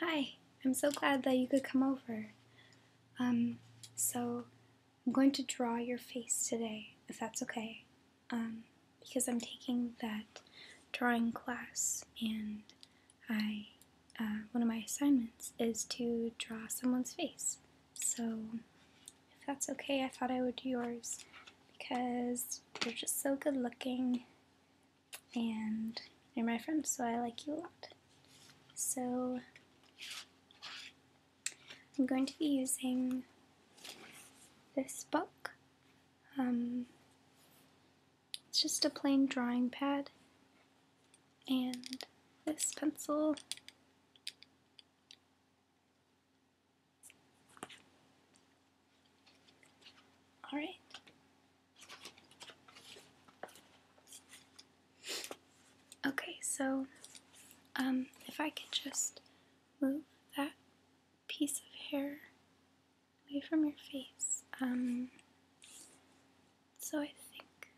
Hi, I'm so glad that you could come over. Um, so I'm going to draw your face today, if that's okay. Um, because I'm taking that drawing class and I, uh, one of my assignments is to draw someone's face. So if that's okay, I thought I would do yours because you're just so good looking and you're my friend, so I like you a lot. So I'm going to be using this book. Um, it's just a plain drawing pad and this pencil. All right. Okay, so um, if I could just move that piece of hair away from your face. Um, so I think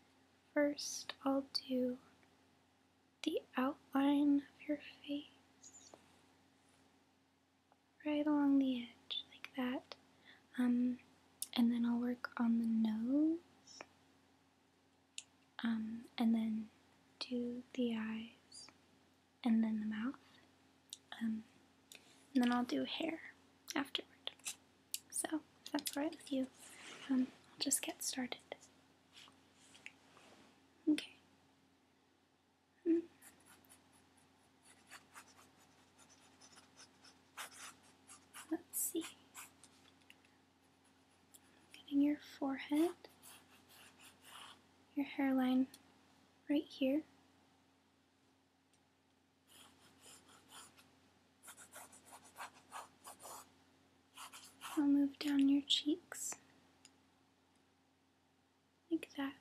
first I'll do the outline of your face right along the edge like that. Um, and then I'll work on the nose. Um, and then do the eyes and then the mouth. Um, and then I'll do hair afterward. So, that's alright with you, um, I'll just get started. Okay. Let's see. Getting your forehead, your hairline right here. I'll move down your cheeks like that.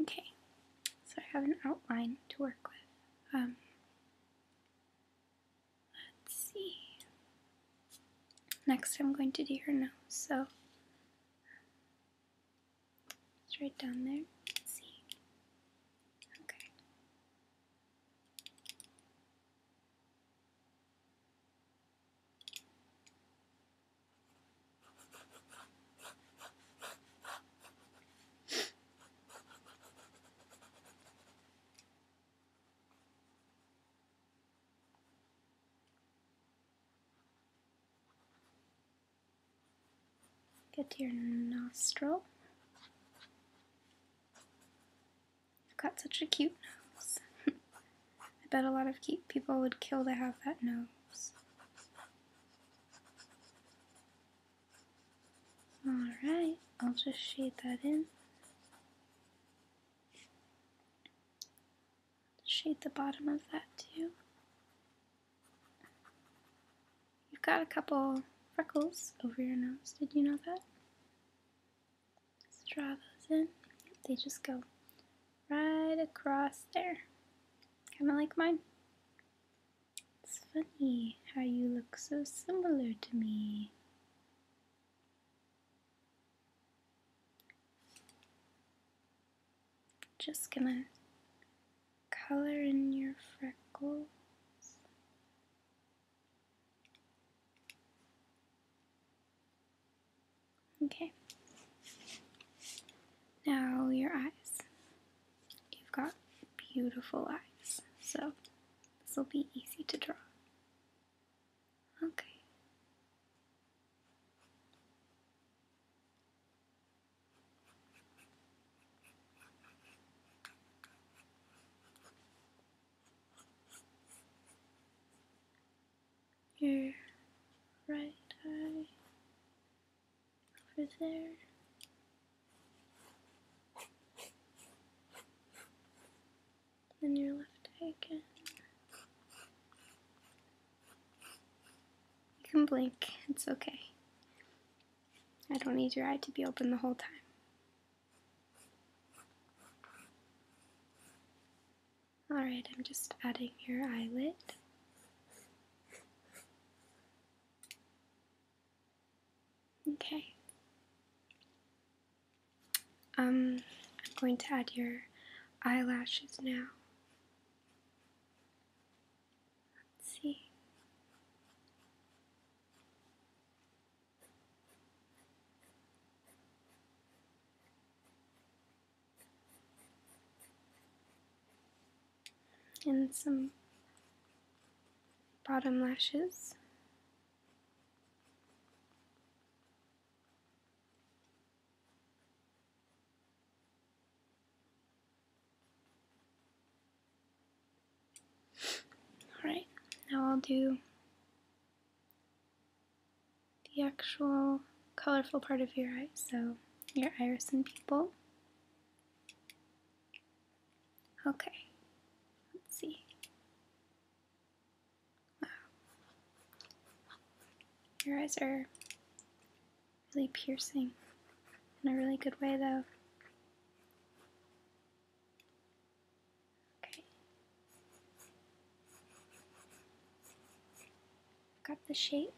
Okay, so I have an outline to work with. Um, let's see. Next, I'm going to do her nose. So it's right down there. see. Okay. Get to your nostril. You've got such a cute nose. I bet a lot of cute people would kill to have that nose. Alright, I'll just shade that in. Shade the bottom of that too. You've got a couple freckles over your nose. Did you know that? Let's draw those in. They just go right across there. Kind of like mine. It's funny how you look so similar to me. Just gonna color in your freckles. Okay. Now your eyes. You've got beautiful eyes, so this will be easy to draw. Okay. Your right eye over there. and your left eye again. You can blink, it's okay. I don't need your eye to be open the whole time. Alright, I'm just adding your eyelid. Okay. Um, I'm going to add your eyelashes now. Let's see. And some bottom lashes. Alright, now I'll do the actual colorful part of your eye, so your iris and pupil. Okay, let's see. Your eyes are really piercing in a really good way, though. Okay. I've got the shape.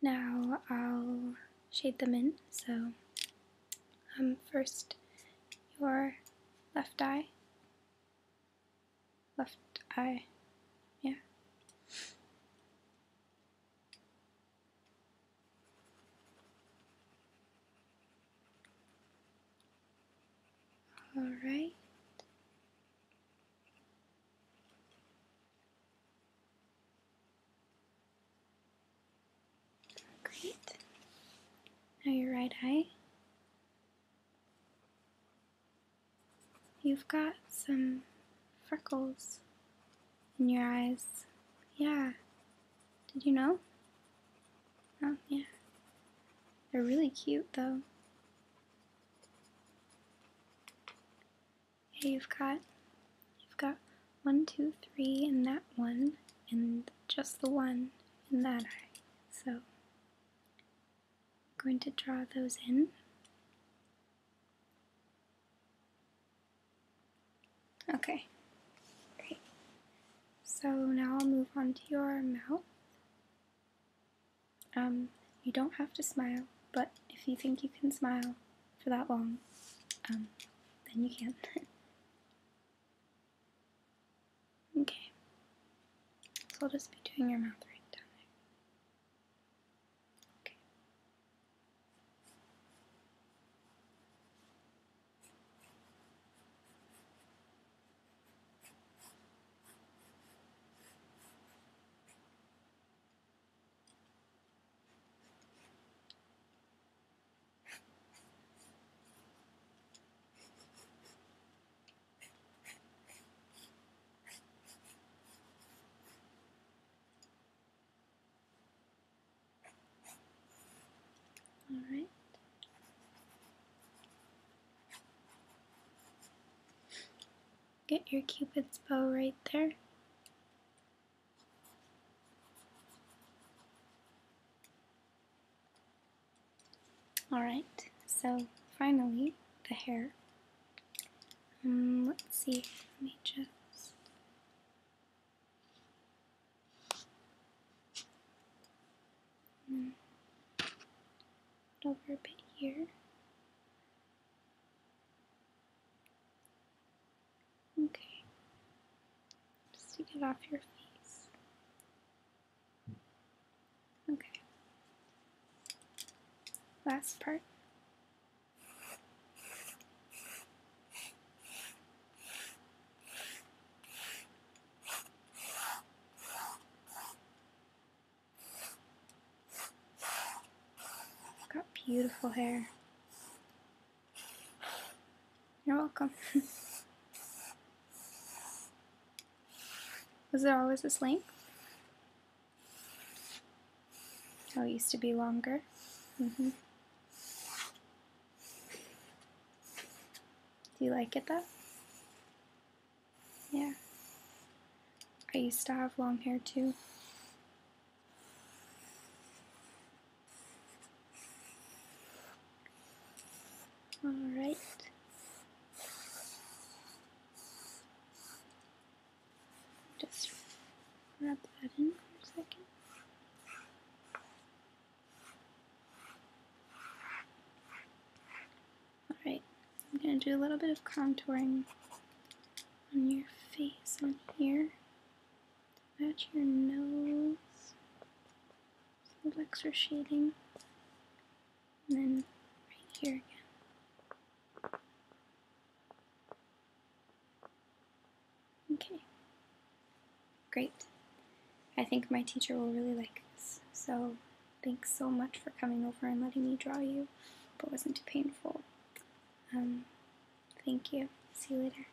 Now I'll shade them in. So, um, first your left eye left eye. Yeah. All right. Great. Now your right eye. You've got some freckles in your eyes. Yeah. Did you know? Oh, yeah. They're really cute, though. Hey, you've got, you've got one, two, three and that one, and just the one in that eye. So, I'm going to draw those in. Okay, great. So now I'll move on to your mouth. Um, you don't have to smile, but if you think you can smile for that long, um, then you can. Okay. So I'll just be doing your mouth right down there. Okay. All right. Get your cupid's bow right there. Alright, so finally the hair. Mm, let's see, let me just. And mm, over a bit here. Okay. Just to get off your face. Okay. Last part. Got beautiful hair. You're welcome. Was there always this length? Oh, it used to be longer. Mm-hmm. Do you like it though? Yeah. I used to have long hair too. All right. Just rub that in for a second. Alright, I'm going to do a little bit of contouring on your face on here to match your nose some extra shading. And then right here again. Okay, great. I think my teacher will really like this, so thanks so much for coming over and letting me draw you, but wasn't too painful. Um, thank you. See you later.